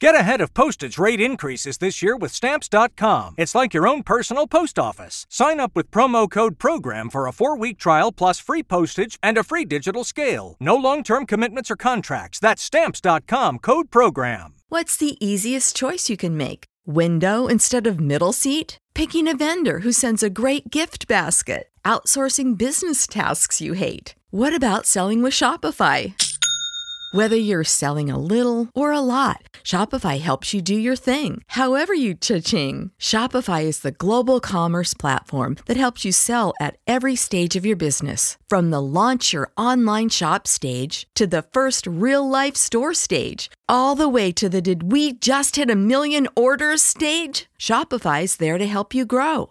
Get ahead of postage rate increases this year with stamps.com. It's like your own personal post office. Sign up with promo code PROGRAM for a four week trial plus free postage and a free digital scale. No long term commitments or contracts. That's stamps.com code PROGRAM. What's the easiest choice you can make? Window instead of middle seat? Picking a vendor who sends a great gift basket? Outsourcing business tasks you hate? What about selling with Shopify? Whether you're selling a little or a lot, Shopify helps you do your thing, however you cha-ching. Shopify is the global commerce platform that helps you sell at every stage of your business. From the launch your online shop stage to the first real life store stage, all the way to the did we just hit a million orders stage? Shopify's there to help you grow.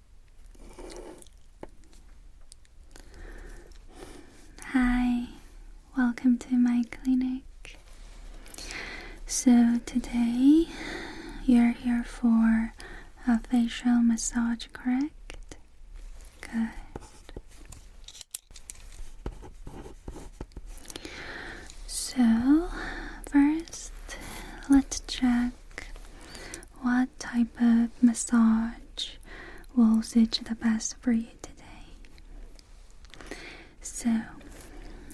Hi, welcome to my clinic. So, today you're here for a facial massage, correct? Good. So, first, let's check what type of massage will suit the best for you today. So,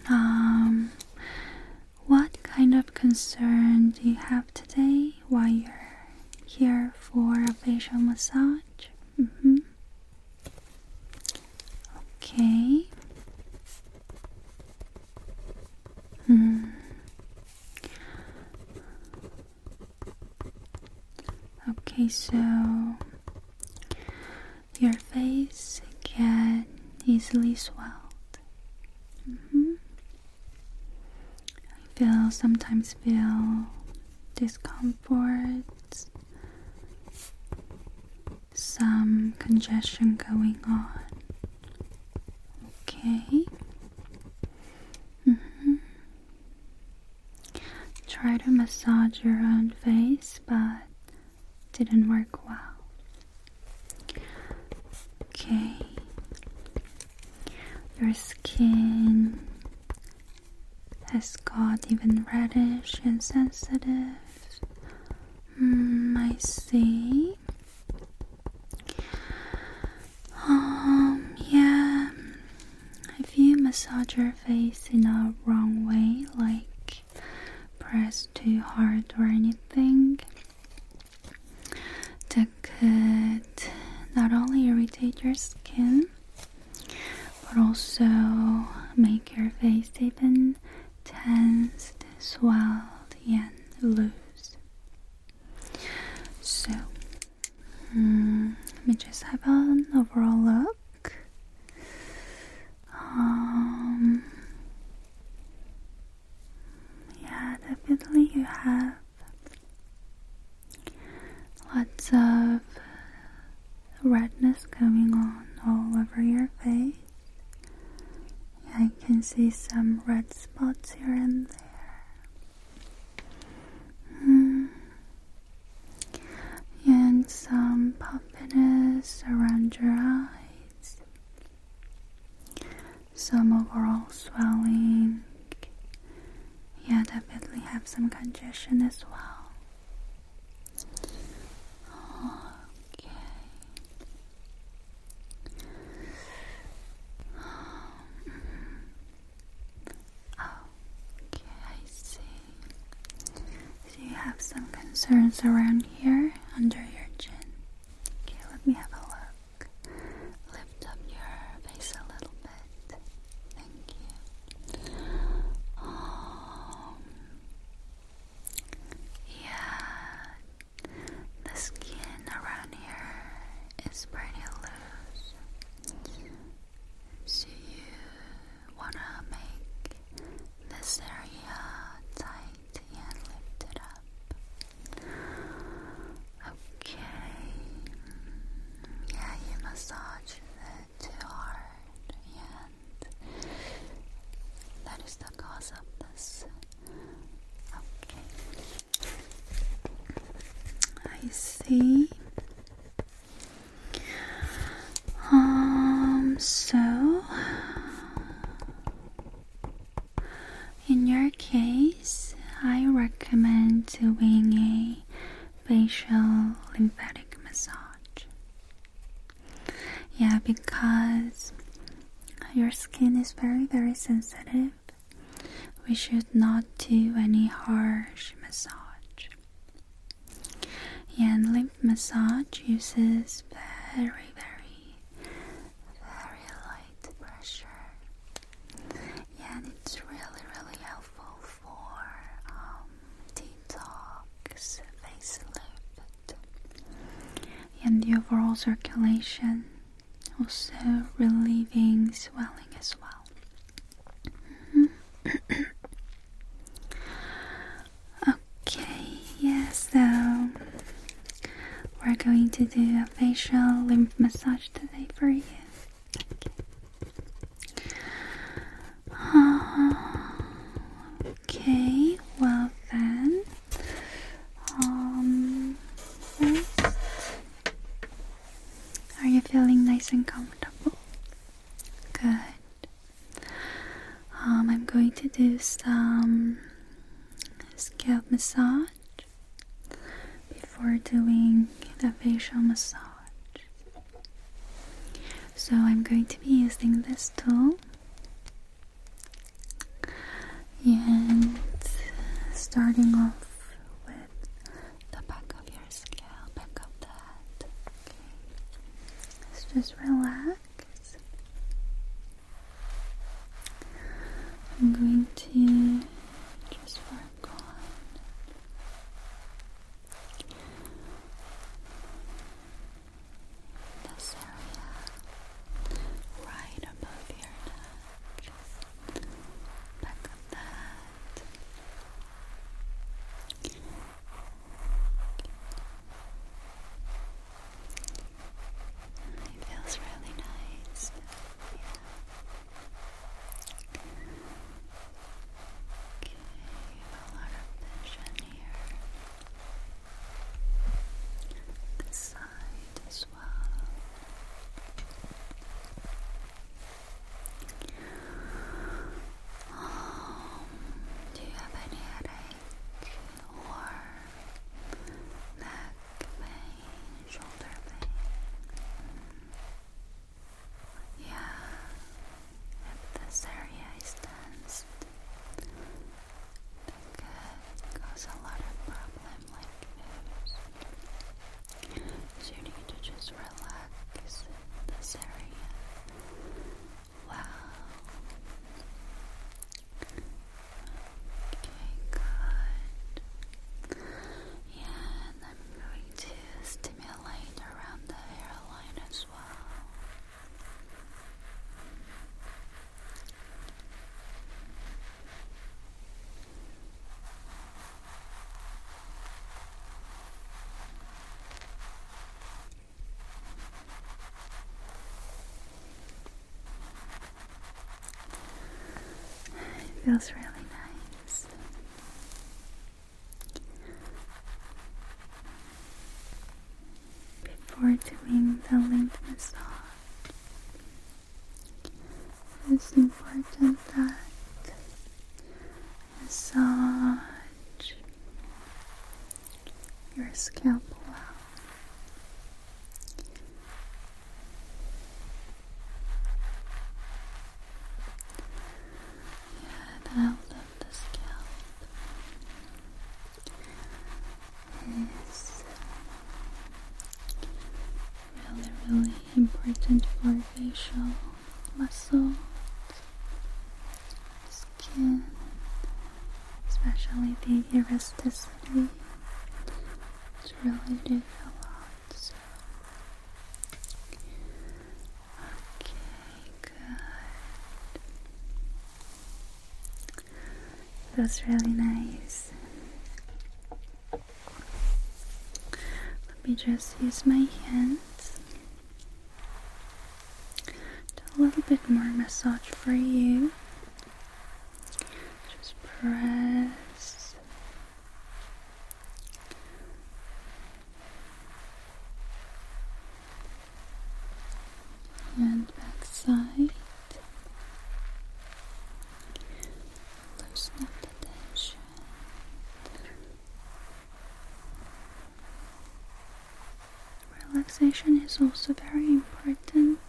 um, what kind of concern do you have today while you're here for a facial massage? Mm-hmm. Okay. Hmm. Okay, so your face can easily swelled. Mm-hmm. I feel sometimes feel discomfort, some congestion going on. Okay. Mm -hmm. Try to massage your own face, but didn't work well. Okay. Your skin has got even reddish and sensitive. Mm, I see. Um, yeah. If you massage your face in a wrong way, like press too hard or anything, that could not only irritate your skin but also make your face even tense, swelled, and loose. So, hmm, let me just have an overall look. Um, yeah, definitely you have lots of redness coming on all over your face. I can see some red spots here and there. Hmm. And some puffiness around your eyes, some overall swelling. Yeah, definitely have some congestion as well. Okay. Um, okay, I see. So you have some concerns around here under your chin. Okay, let me have a look. Lift up your face a little bit. Thank you. Um, yeah, the skin around here is pretty loose. So you wanna make this area tight and lift it up. Okay. Yeah, you massage it too hard and that is the cause of this Okay. I see. Um, so in your case, I recommend doing a facial lymphatic massage. Yeah, because your skin is very, very sensitive. We should not do any harsh massage. And lymph massage uses very, very, very light pressure. And it's really, really helpful for um, detox, face and the overall circulation, also relieving swelling as well. Mm-hmm. okay, Yes. so we're going to do a facial lymph massage today for you. Okay, uh, okay well then. Um, are you feeling nice and comfortable? Good. Um, I'm going to do some scalp massage before doing the facial massage. So I'm going to be using this tool and starting off with the back of your scalp, back of the head. Okay. Let's just relax. I'm going to just work on this area, right above your neck, back of that. It feels really nice. Yeah. Okay, a lot of vision here. This side as well. Um, do you have any headache or neck pain, shoulder pain? Mm. Yeah, if this area is tense, that could cause a lot of problem So you need to just relax in this area. Wow. Okay, good. Yeah, and I'm going to stimulate around the hairline as well. It feels really nice before doing the lymph massage. It's important that massage your scalp well. Yeah, the out the scalp is really, really important for facial muscles, skin, especially the elasticity. It's really did a lot. So. Okay, good. It was really nice. Let me just use my hands. Do a little bit more massage for you. Just press and back side. Loosen the tension. Relaxation is also very important.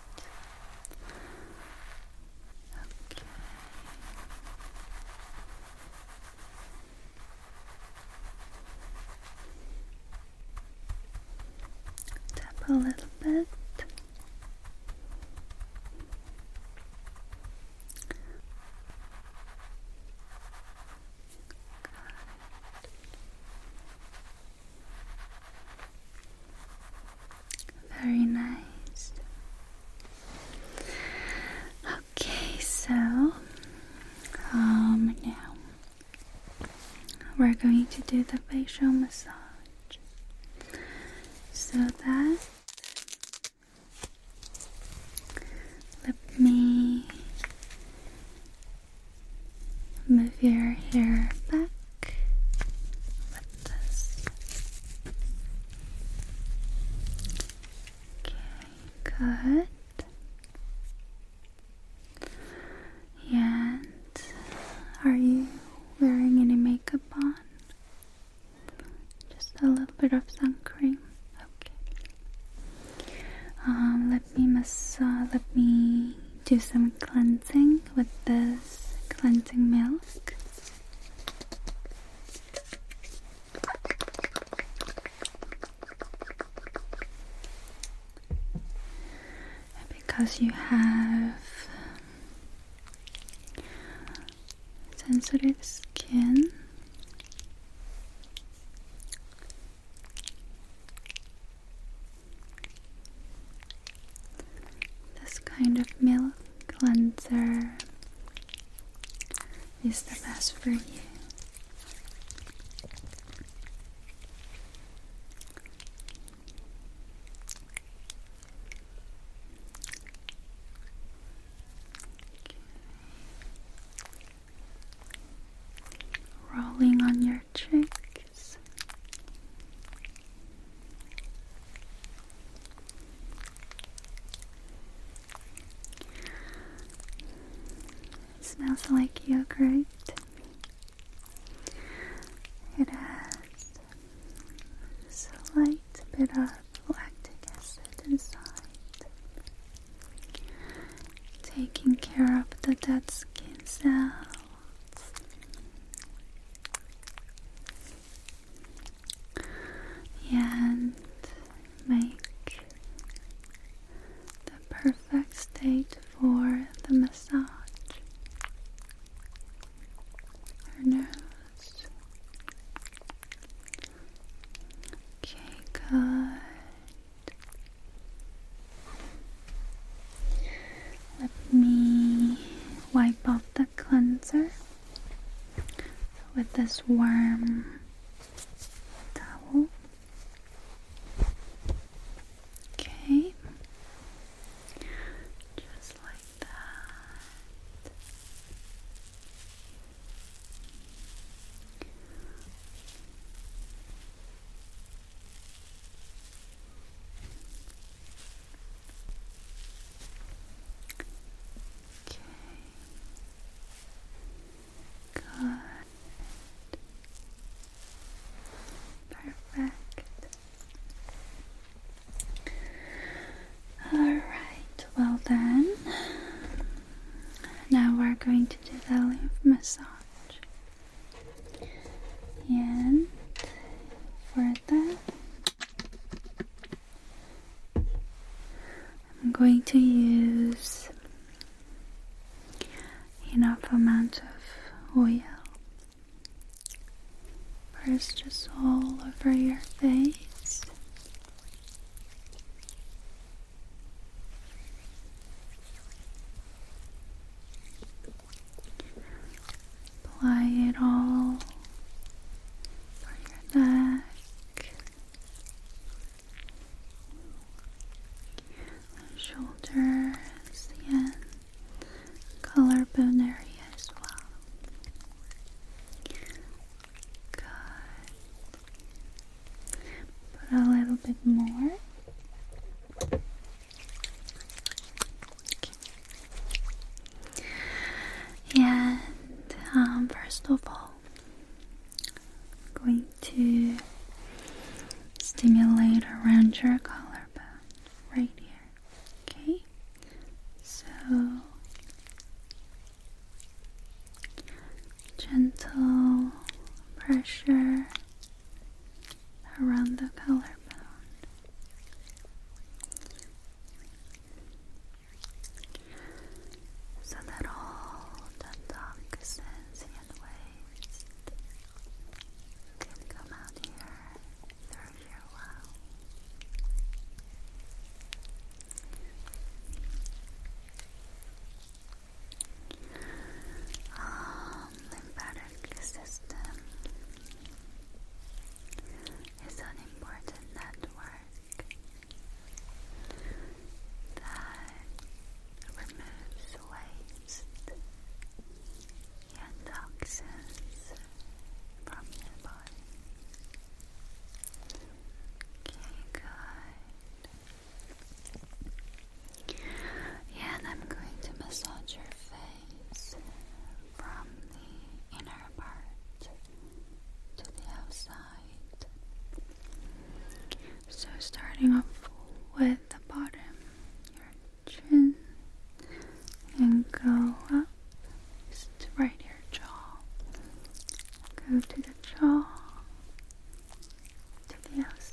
Okay. Tap a little bit. Very nice. Okay, so um now we're going to do the facial massage so that let me move your hair back with this okay good and are you wearing any makeup on? Just a little bit of sunscreen. Okay. Um, let me massage. Let me do some cleansing with this cleansing milk because you have um, sensitive skin. This kind of milk cleanser is the best for you. Rolling on your cheeks. smells like yogurt it has a slight bit of lactic acid inside, taking care of the dead skin cells. And make the perfect state for the massage. Her nose. Okay, good. Let me wipe off the cleanser with this warm towel. Okay, just like that. Okay. Good. Perfect. Alright, well then, now we're going to do the lymph massage. And for that, I'm going to use enough amount of oil. First, just all over your face. Apply it all On your neck, shoulders and collarbone area as well. Good. Put a little bit more. And um, first of all, going to stimulate around your collarbone right here. Okay? So gentle pressure around the collarbone. So that all the toxins and waste can come out here through your wow. Um, lymphatic system is an important network that removes waste and toxins from your Okay, good. Yeah, and I'm going to massage your face from the inner part to the outside. So, starting off with the bottom, your chin, and go up, just right your jaw. Go to the jaw, to the outside.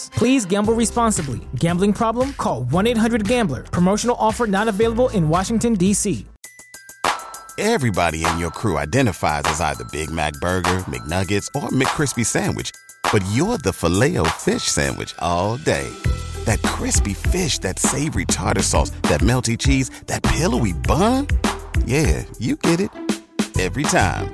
Please gamble responsibly. Gambling problem? Call 1 800 Gambler. Promotional offer not available in Washington, D.C. Everybody in your crew identifies as either Big Mac Burger, McNuggets, or McCrispy Sandwich, but you're the filet fish Sandwich all day. That crispy fish, that savory tartar sauce, that melty cheese, that pillowy bun. Yeah, you get it every time.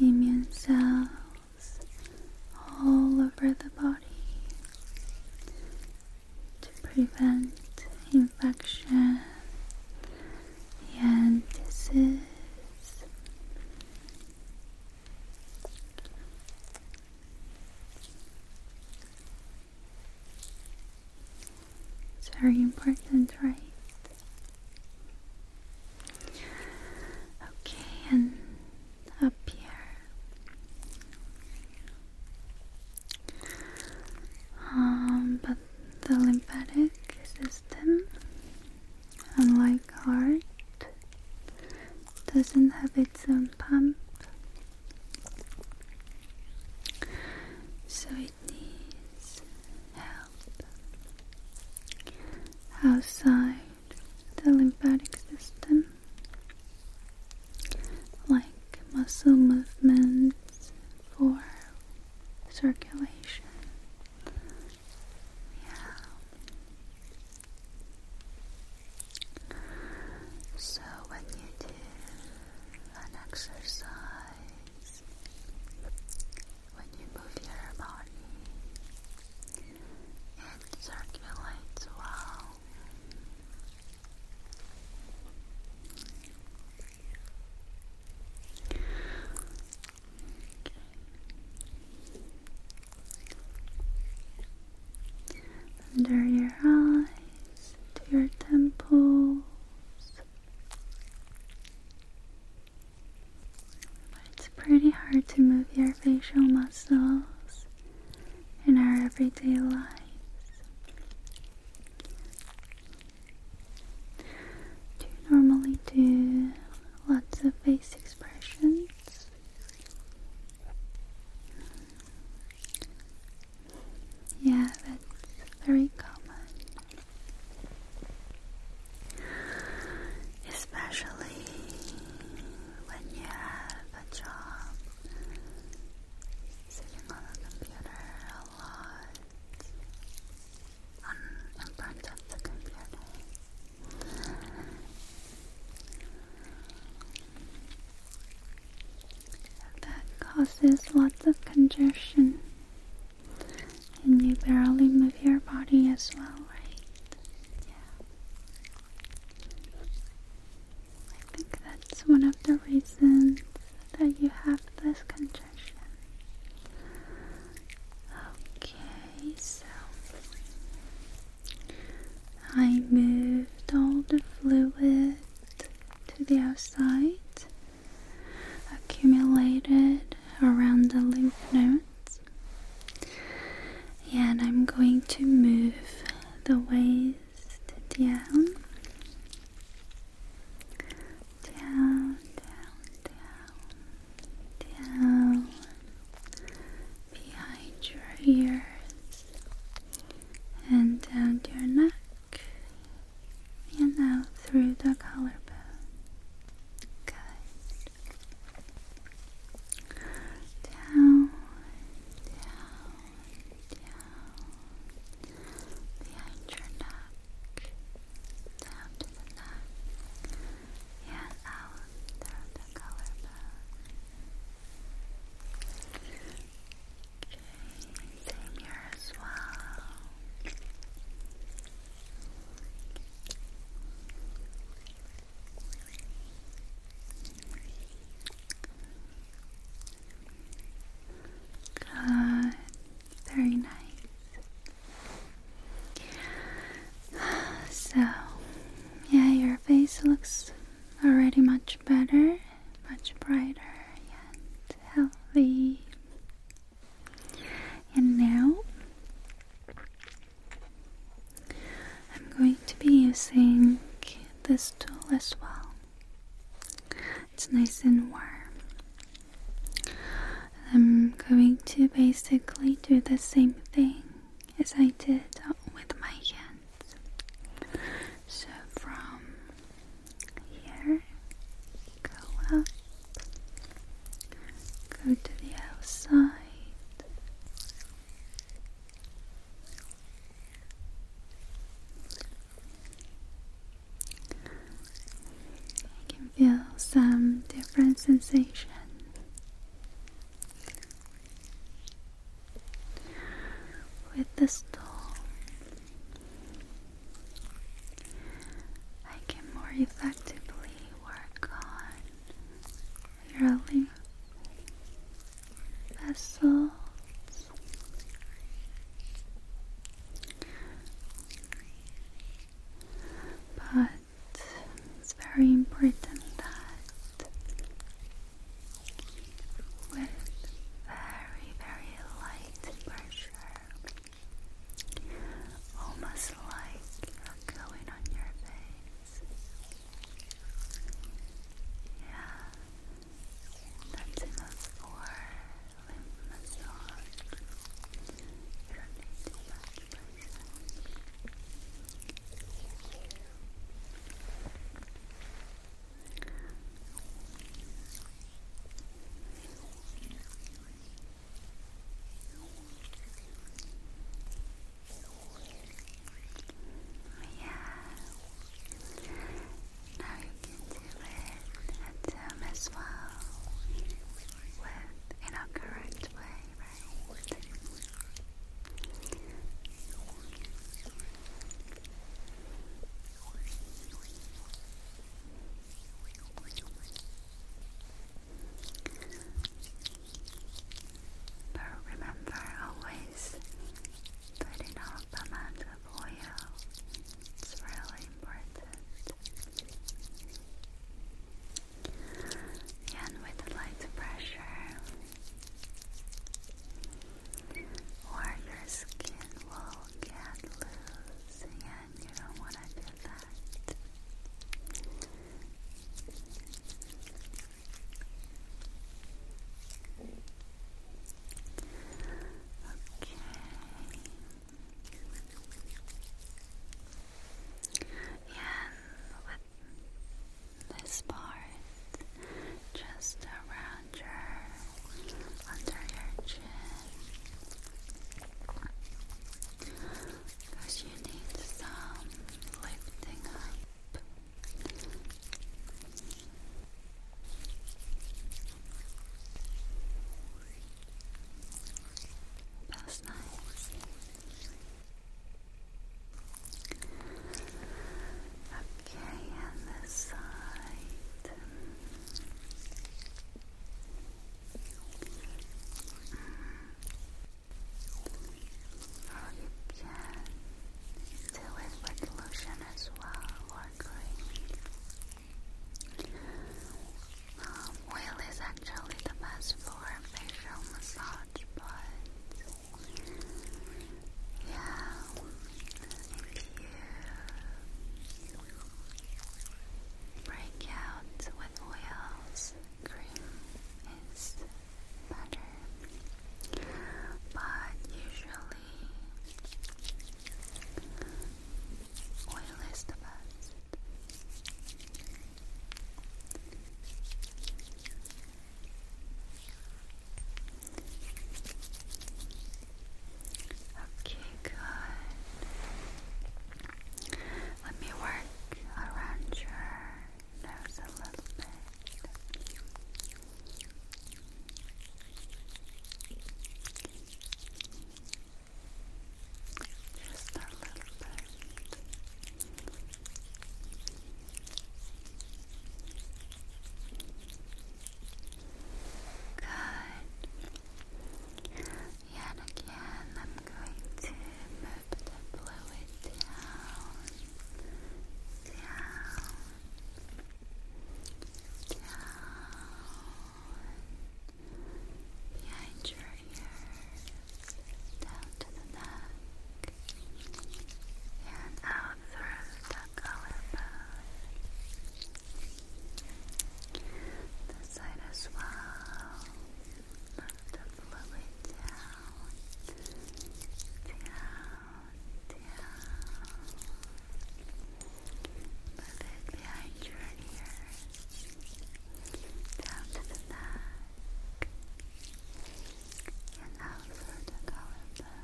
immune cells all over the body to prevent infection and disease. It's very important, right? Okay, and up here. Um, but the lymphatic system, unlike heart, doesn't have its own pump. So it might help outside the lymphatic system, like muscle movements for circulation. Yeah. So when you do an exercise, when you move your body, it circulates well. Under your eyes to your temples it's pretty hard to move your facial muscles in our everyday lives. Do you normally do lots of face expressions? Yeah, that's very common. Especially when you have a job sitting on a computer a lot, in front of the computer. That causes lots of congestion and you barely move your body as well, right? Yeah. I think that's one of the reasons that you have this congestion. Okay, so I moved all the fluid to the outside accumulated around the lymph nodes. And I'm going to move the waist down, down, down, down, behind your ears and down your neck and out through the collarbone. Good. Down, down, down. Behind your neck. Down to the neck. And out through the collarbone. Okay. Same here as well. Good. Very nice. So, yeah, your face looks already much better, much brighter and healthy. And now I'm going to be using this tool as well. It's nice and warm. I'm going to basically do the same thing as I did with my hands. So from here, go up, go to the outside. You can feel some different sensation. With the storm, I can more effectively work on your lymph vessels. But it's very important that with very, very light pressure almost like a going on your face. Yeah, that's enough for lymph You don't need too much Oh, yeah. Now you can do it at as well. With in a correct way, right? But remember always put enough amount of oil. It's really important. And with light pressure or your skin will get loose you don't want to do that. Okay. Yeah, with this part just around your under your chin because you need some lifting up. That's nice. Okay, and this side. Or you do it with lotion as well or cream. oil is actually the best for facial massage, but yeah, Breakout with oils, cream is better, but usually oil is the best. Okay, good. Let me work around your nose a little bit. Just a little bit. Good. Yeah, again, I'm going to move the fluid down, down, down, behind your ears, down to the neck, and out through the collarbone. This side as well. Lift the fluid down. Down, down. Move it behind your ears. Down to the neck. And out through the collarbone.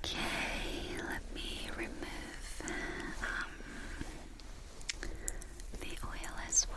Okay, let me remove um, the oil as well.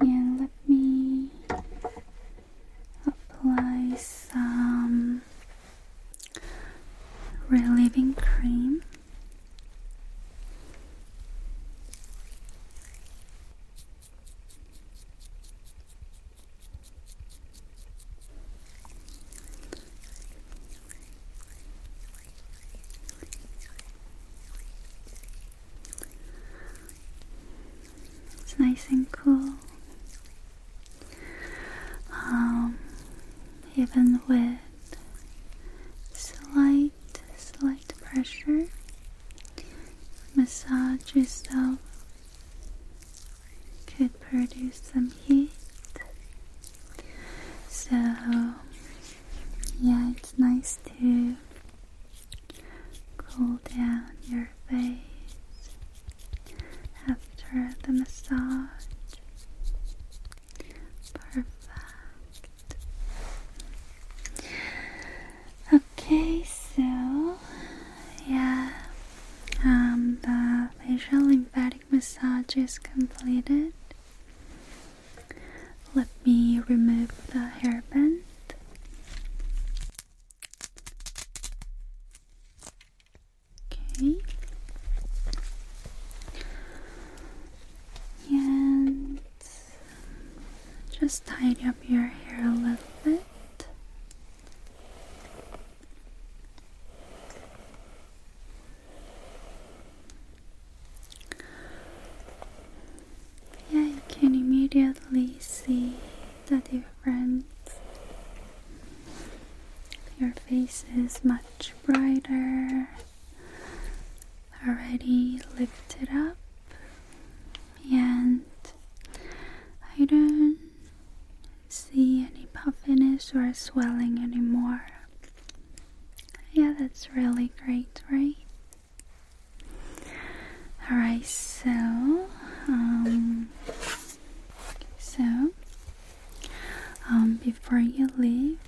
And let me apply some relieving cream. It's nice and cool. Um, even with slight, slight pressure, massage itself could produce some heat so, yeah, it's nice to cool down your face after the massage. Perfect. Okay, so yeah, um, the facial lymphatic massage is completed. Let me remove the hairband. Okay. And just tidy up your hair a little bit. Yeah, you can immediately see the difference. Your face is much brighter, already lifted up, and I don't see any puffiness or swelling anymore. Yeah, that's really great, right? Alright, so, um, so, um, before you leave,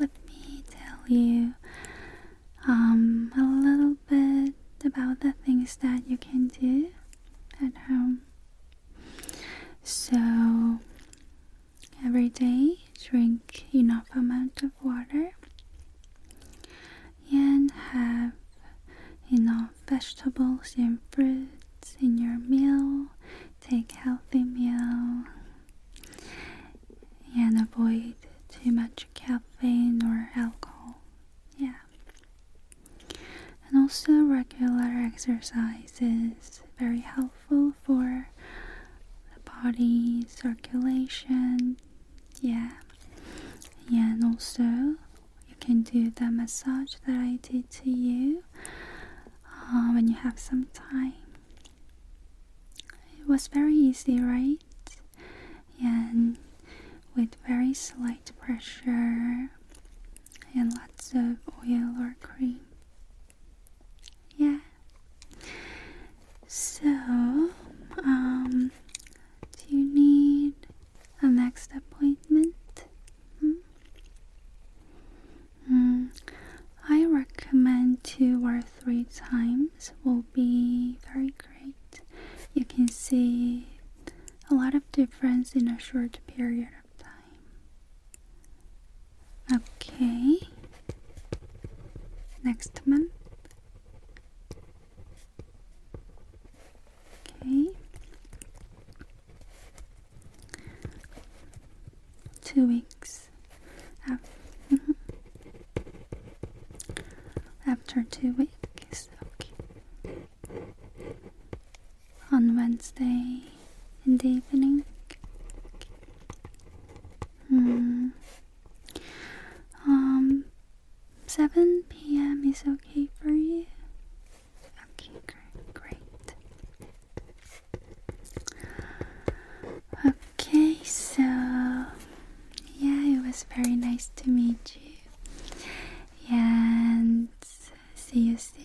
let me tell you, um, a little bit about the things that you can do at home. So, Every day, drink enough amount of water and have enough vegetables and fruits in your meal. Take healthy meal and avoid too much caffeine or alcohol. Yeah. And also regular exercise is very helpful for the body circulation. Yeah, yeah, and also you can do the massage that I did to you uh, when you have some time. It was very easy, right? And with very slight pressure and lots of oil or cream. Yeah. So, um, do you need a next appointment? Hmm? Mm, I recommend two or three times will be very great. You can see a lot of difference in a short period time. Okay. Next month. Okay. Two weeks. After two weeks. Okay on Wednesday in the evening. Mm. Um, 7 p.m. is okay for you? Okay, great, great. Okay, so yeah, it was very nice to meet you. And see you soon.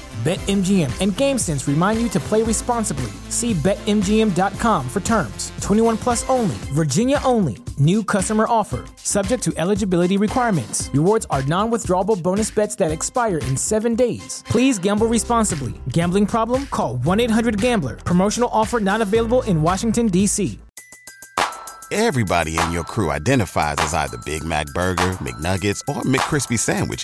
BetMGM and GameSense remind you to play responsibly. See BetMGM.com for terms. 21 plus only, Virginia only. New customer offer, subject to eligibility requirements. Rewards are non withdrawable bonus bets that expire in seven days. Please gamble responsibly. Gambling problem? Call 1 800 Gambler. Promotional offer not available in Washington, D.C. Everybody in your crew identifies as either Big Mac Burger, McNuggets, or McKrispy Sandwich